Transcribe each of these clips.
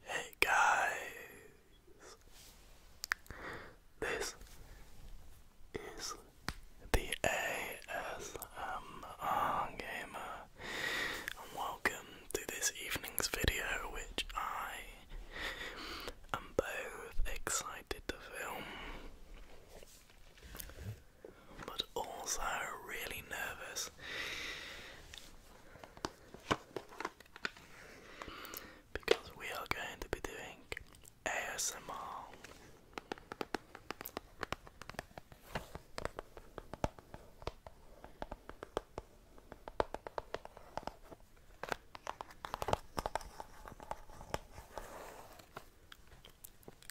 Hey guys, this is the ASMR Gamer, and welcome to this evening's video, which I I'm both excited to film, but also really nervous. Because we are going to be doing ASMR.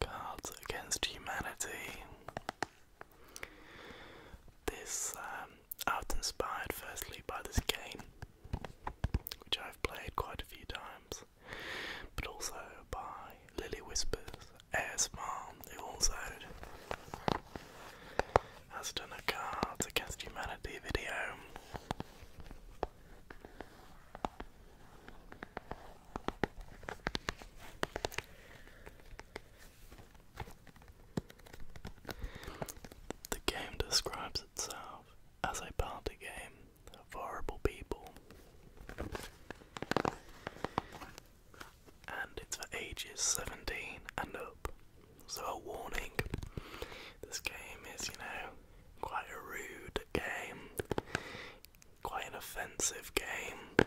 Cards Against Humanity. This um, inspired firstly by this game, which I've played quite a few times, but also by Lily Whispers ASMR, who also has done a Cards Against Humanity video. The game describes itself as a party game of horrible people. And it's for ages 17 and up. So, a warning this game is, you know, Quite a rude game. Quite an offensive game.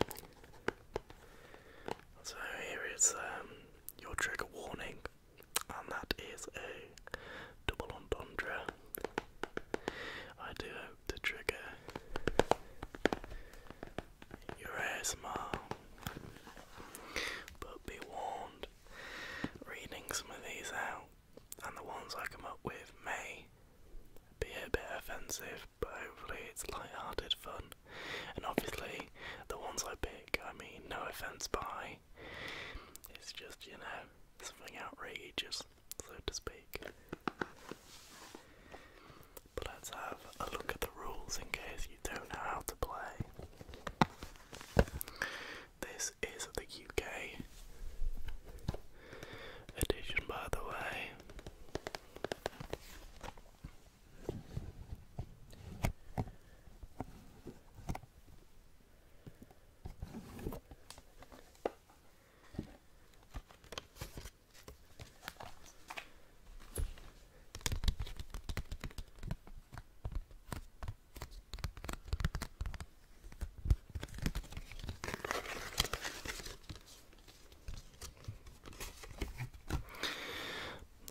So here is um, your trigger warning, and that is a double entendre. I do hope to trigger your ASMR, but be warned, reading some of these out and the ones I come up with may be a bit offensive, but hopefully it's light-hearted fun. And obviously, the ones I pick, I mean, no offense by. It's just, you know, something outrageous, so to speak. But let's have a look at the rules in case you don't know how to play. This is the UK edition, by the way.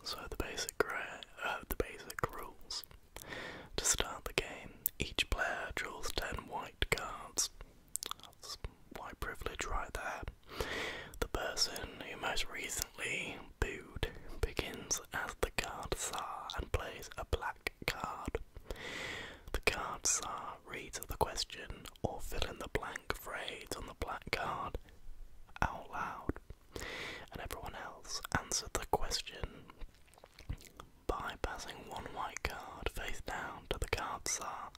So the basic uh, the basic rules. To start the game, each player draws ten white cards. white privilege right there. The person who most recently booed begins as the card czar and plays a black card. The cards are reads of the question or fill in the blank phrase on the black card out loud, and everyone else answered the question by passing one white card face down to the cards are.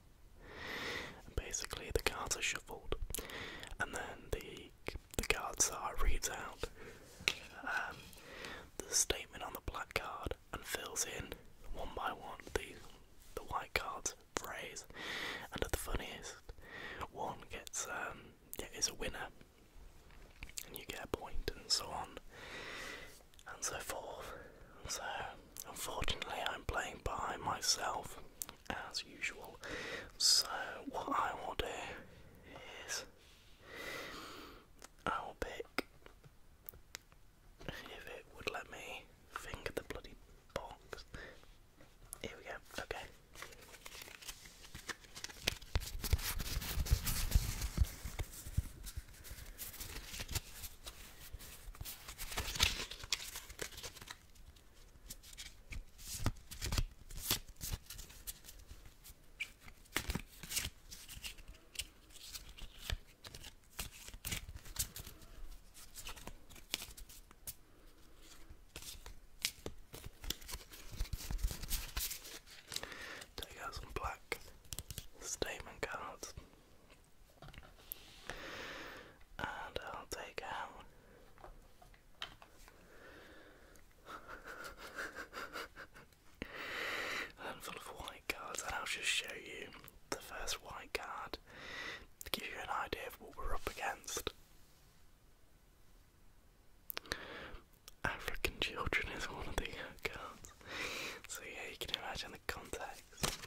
basically, the cards are shuffled, and then the the card czar reads out um, the statement on the black card and fills in one by one the the white card's phrase. And at the funniest, one gets um yeah, is a winner, and you get a point, and so on, and so forth. So unfortunately, I'm playing by myself as usual. So what I will do is I'll pick if it would let me finger the bloody box. Here we go, okay. Take out some black statement cards, and I'll take out. a handful of white cards, and I'll just show you the first white card to give you an idea of what we're up against. African children is one of the cards, so yeah, you can imagine the context.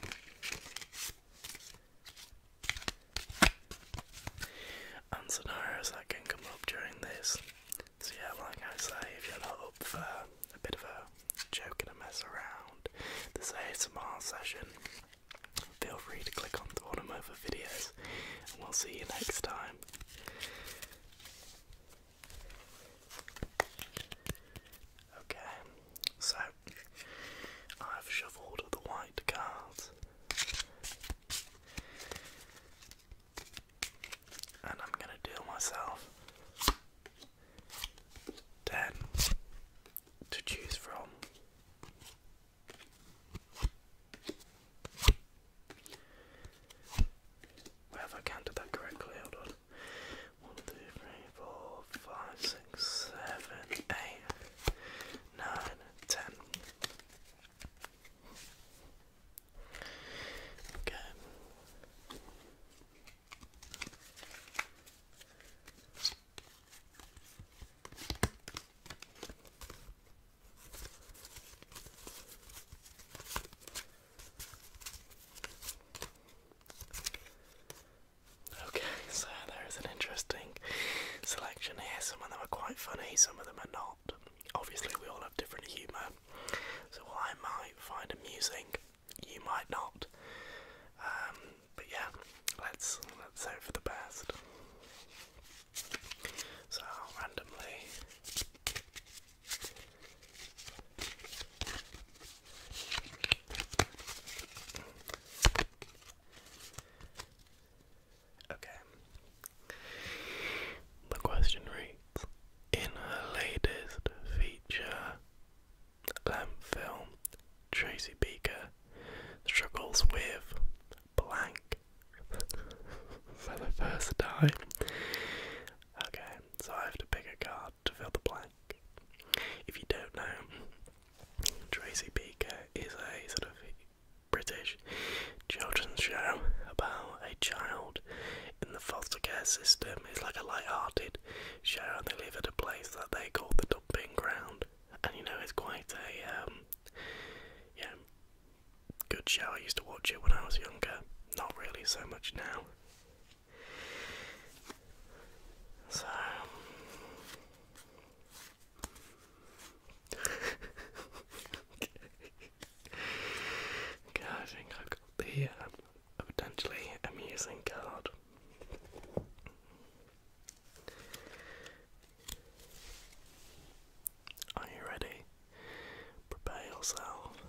And scenarios that can come up during this so yeah, well I say, if you're not up for a bit of a joke and a mess around this a small session, feel free to click on the one of videos, and we'll see you next time. Okay, so I've shuffled the white cards. And I'm gonna deal myself 10 to choose from. Whether I counted that correctly, hold on. 1, Okay. Okay, so there's an interesting selection here. Some of them are quite funny, some of them are not. Obviously, we all have different humour, so what I might find amusing, you might not. Um, but yeah, let's let's hope for the best. So randomly Okay, the question reads In her latest feature, lamp film, Tracy Beaker struggles with blank for the first time. Okay, so I have to pick a card to fill the blank. If you don't know, Tracy Beaker is a sort of British children's show about a child in the foster care system. It's like a light-hearted show, and they live at a place that they call the dumping ground. And you know, it's quite a um, yeah good show. I used to watch it when I was younger. Not really so much now. So. Um, I think I've got the um, potentially amusing card. Are you ready? Prepare yourself.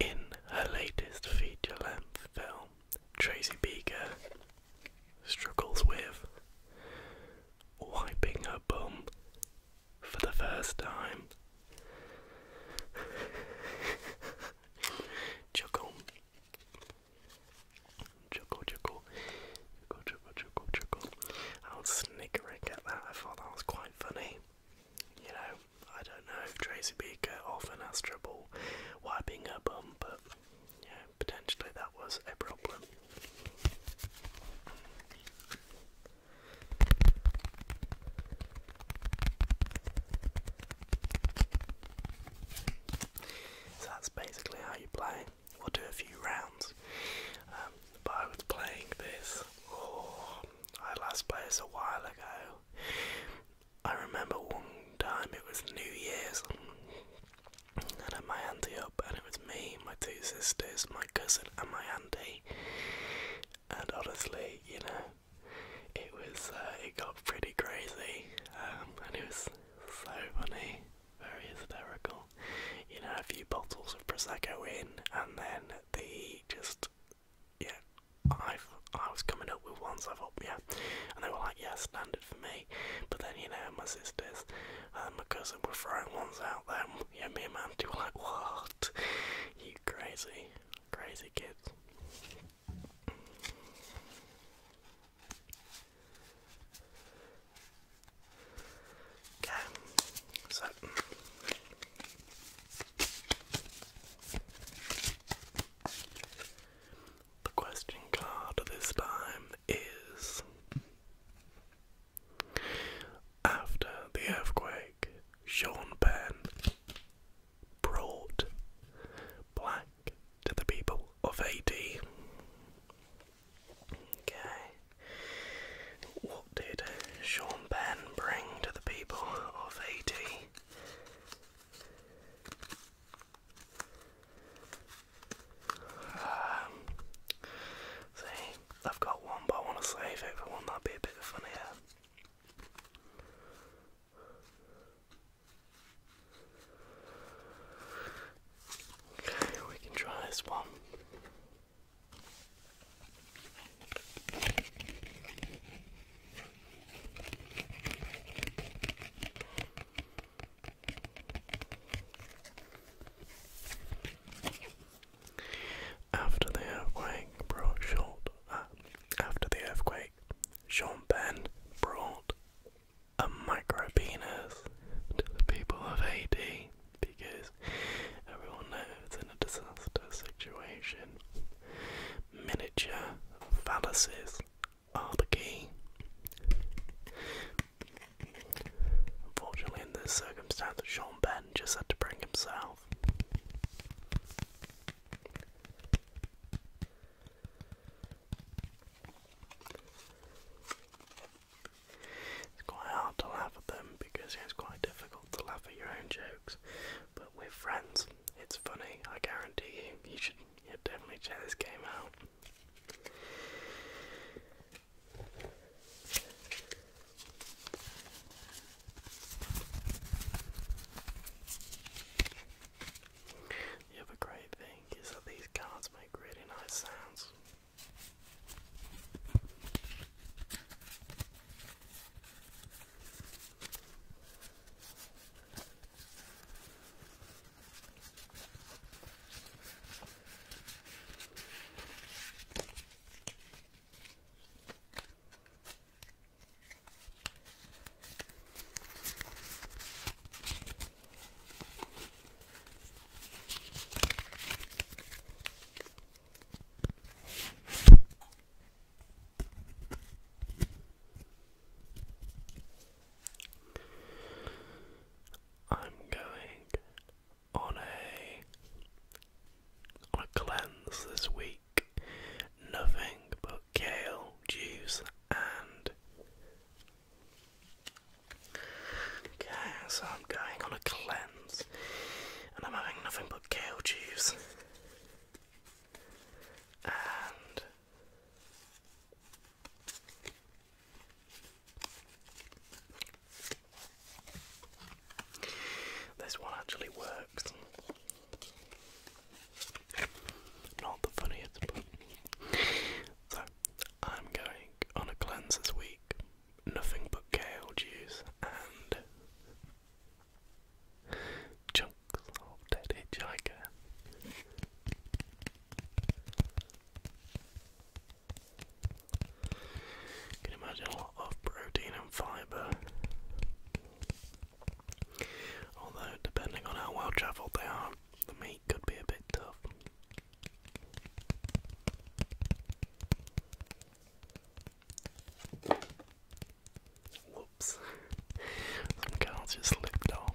In her latest feature length film, Tracy Beaker struggles with wiping her bum for the first time. chuckle. Chuckle, chuckle. Chuckle, chuckle, chuckle, chuckle. I was snickering at that. I thought that was quite funny. You know, I don't know if Tracy Beaker often has trouble wiping her bum, but yeah, potentially that was a problem. So that's basically how you play. We'll do a few rounds. Um, but I was playing this, oh, I last played this a while ago. I remember one time it was New Year's and had my auntie and it was me, my two sisters, my cousin, and my auntie. And honestly, you know, it was uh, it got pretty crazy, um, and it was so funny, very hysterical. You know, a few bottles of prosecco in, and then the just yeah, I I was coming up with ones so I thought yeah, and they were like yeah, standard for me. But then you know, my sisters um, because they were throwing ones out there. Yeah, me and Mandy were like, "What? You crazy, crazy kids!" Okay, so. The question card this time is after the earthquake, Sean Penn brought black to the people of Haiti. Okay. What did Sean Penn bring to the people of Haiti? Um, see, I've got one, but I want to save it for one that be a bit funnier. Okay, we can try this one. After the earthquake brought short uh, after the earthquake, Sean Penn brought a micro penis to the people of Haiti because everyone knows in a disaster situation miniature phalluses are the key. Unfortunately, in this circumstance, Sean Ben just had to bring himself. It's quite hard to laugh at them because it's quite difficult to laugh at your own jokes. But with friends, it's funny, I guarantee you. You should you definitely check this game out. The other great thing is that these cards make really nice sounds. I'm going on a on a cleanse this week. Nothing but kale juice and Okay, so I'm going on a cleanse and I'm having nothing but kale juice and this one actually works. Not the funniest, So, I'm going on a cleanse week. Nothing but kale juice and chunks of dead hitchhiker can imagine a lot of protein and fiber. Although, depending on how well travelled they are, the meat could be a bit tough. Whoops. Some cards just slipped off.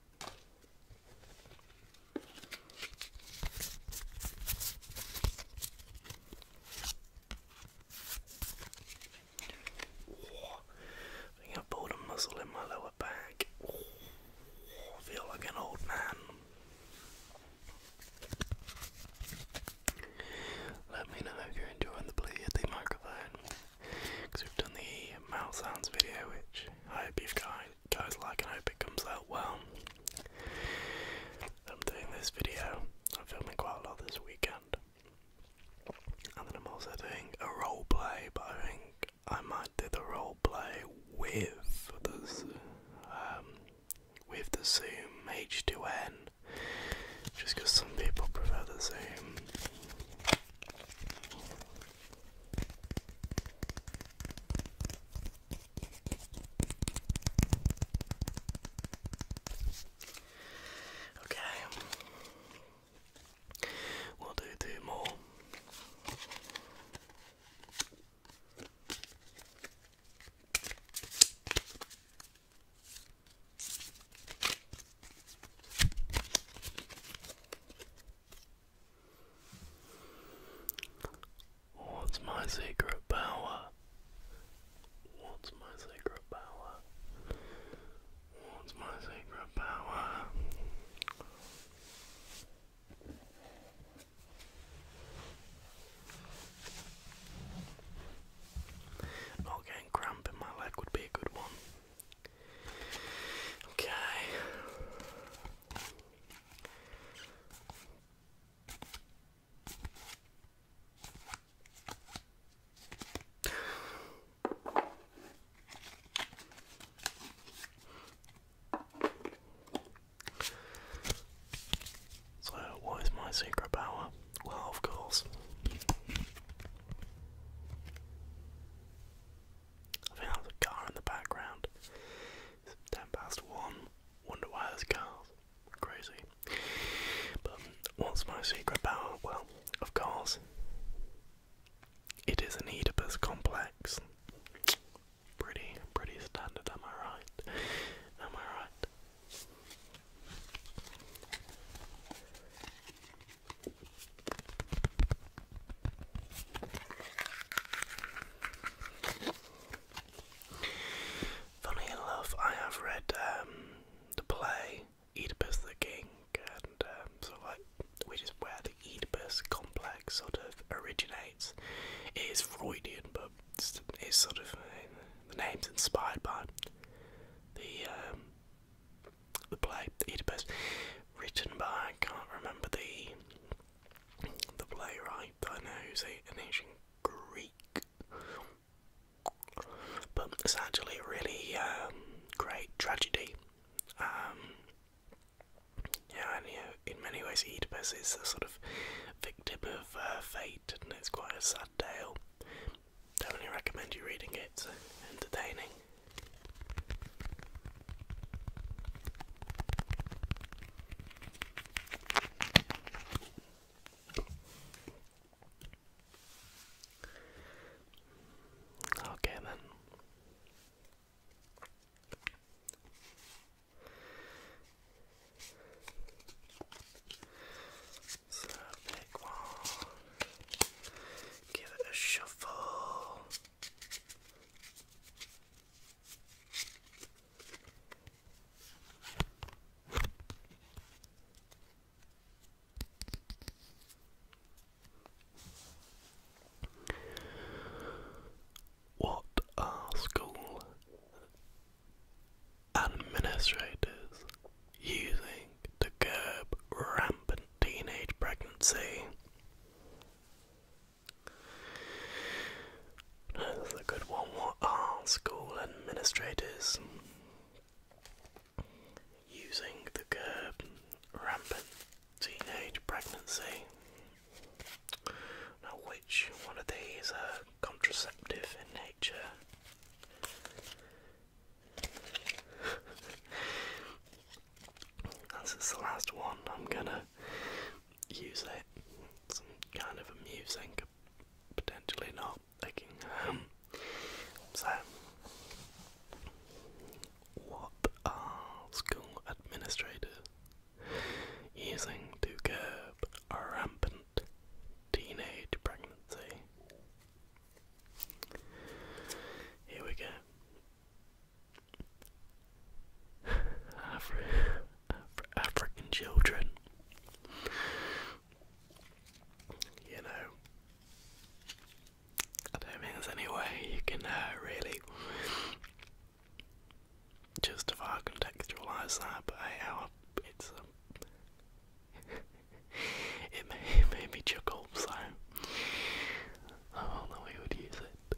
I think I pulled a muscle in my lower back. I feel like an old man. Let me know if you're enjoying the play of the microphone because we've done the mouth sounds video, which I hope you guys guys like and I hope it comes out well. I'm doing this video, I'm filming quite a lot this weekend. And then I'm also doing a role play, but I think I might do the role play with this, um, with the Zoom H2N, just because some people prefer the Zoom. Okay. We'll do two more. What's my secret power? What's my secret power? What's my secret power? Not getting cramp in my leg would be a good one. Okay. So, what is my secret power? Well, of course. I think that car in the background ten past one. Wonder why there's cars. Crazy. But um, what's my secret power? Well, of course, it is an Oedipus complex. Pretty, pretty standard, am I right? Am I right? Funny enough, I have read um, the play Oedipus the King, and um, so like which is where the Oedipus complex sort of originates. It is Freudian, but it's, sort of uh, the name's inspired by the um, the play Oedipus, written by I can't remember the the playwright I know is an ancient Greek. But it's actually a really um, great tragedy. Um, yeah, and in many ways, Oedipus is a sort of victim of uh, fate, and it's quite a sad tale. Definitely recommend you reading it, it's entertaining. Okay, then. So, pick one, give it a shuffle. What are school administrators using to curb rampant teenage pregnancy? That's Another good one. What are school administrators using the curb? Rampant teenage pregnancy. Now, which one of these are contraceptive in nature? This is the last one. I'm gonna use it. It's kind of amusing, potentially not. Thinking, um, so, what are school administrators using to curb a rampant teenage pregnancy? Here we go. Afri African children. You know, I don't think there's any way you can uh, really justify contextualise that, but it's um, it, made, me chuckle, so I don't would use it.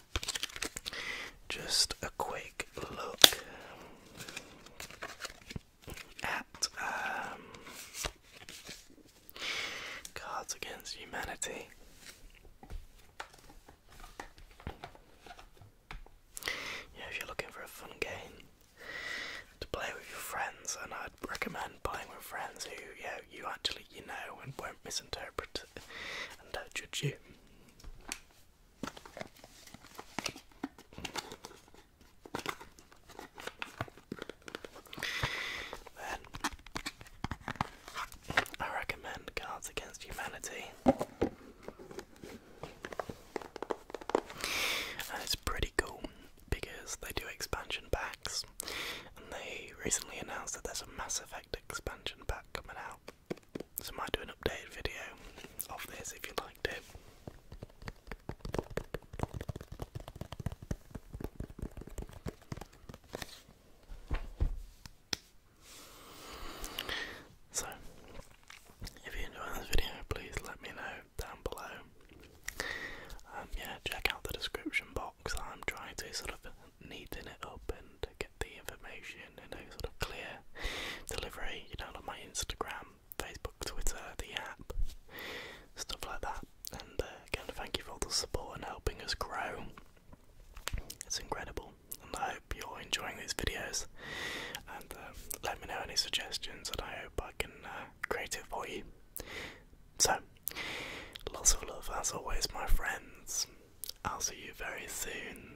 Just a quick look at um, Cards Against Humanity. Yeah, if you're looking for a fun game to play with your friends, and I'd recommend playing with friends who, yeah, you actually know and won't misinterpret and don't judge you. I recommend Cards Against Humanity. And it's pretty cool because they do expansion packs, and they recently announced that there's a Mass Effect expansion pack coming out. So I might do an updated video of this if you liked it. So, if you enjoyed this video, please let me know down below. Um, yeah, check out the description box. I'm trying to sort of neaten it up and get the information in a sort of clear delivery, you know, on my Instagram, Facebook, Twitter, the app, stuff like that. And uh, again, thank you for all the support and helping us grow. It's incredible, and I hope you're enjoying these videos. And uh, let me know any suggestions, and I hope I can uh, create it for you. So, lots of love as always, my friends. I'll see you very soon.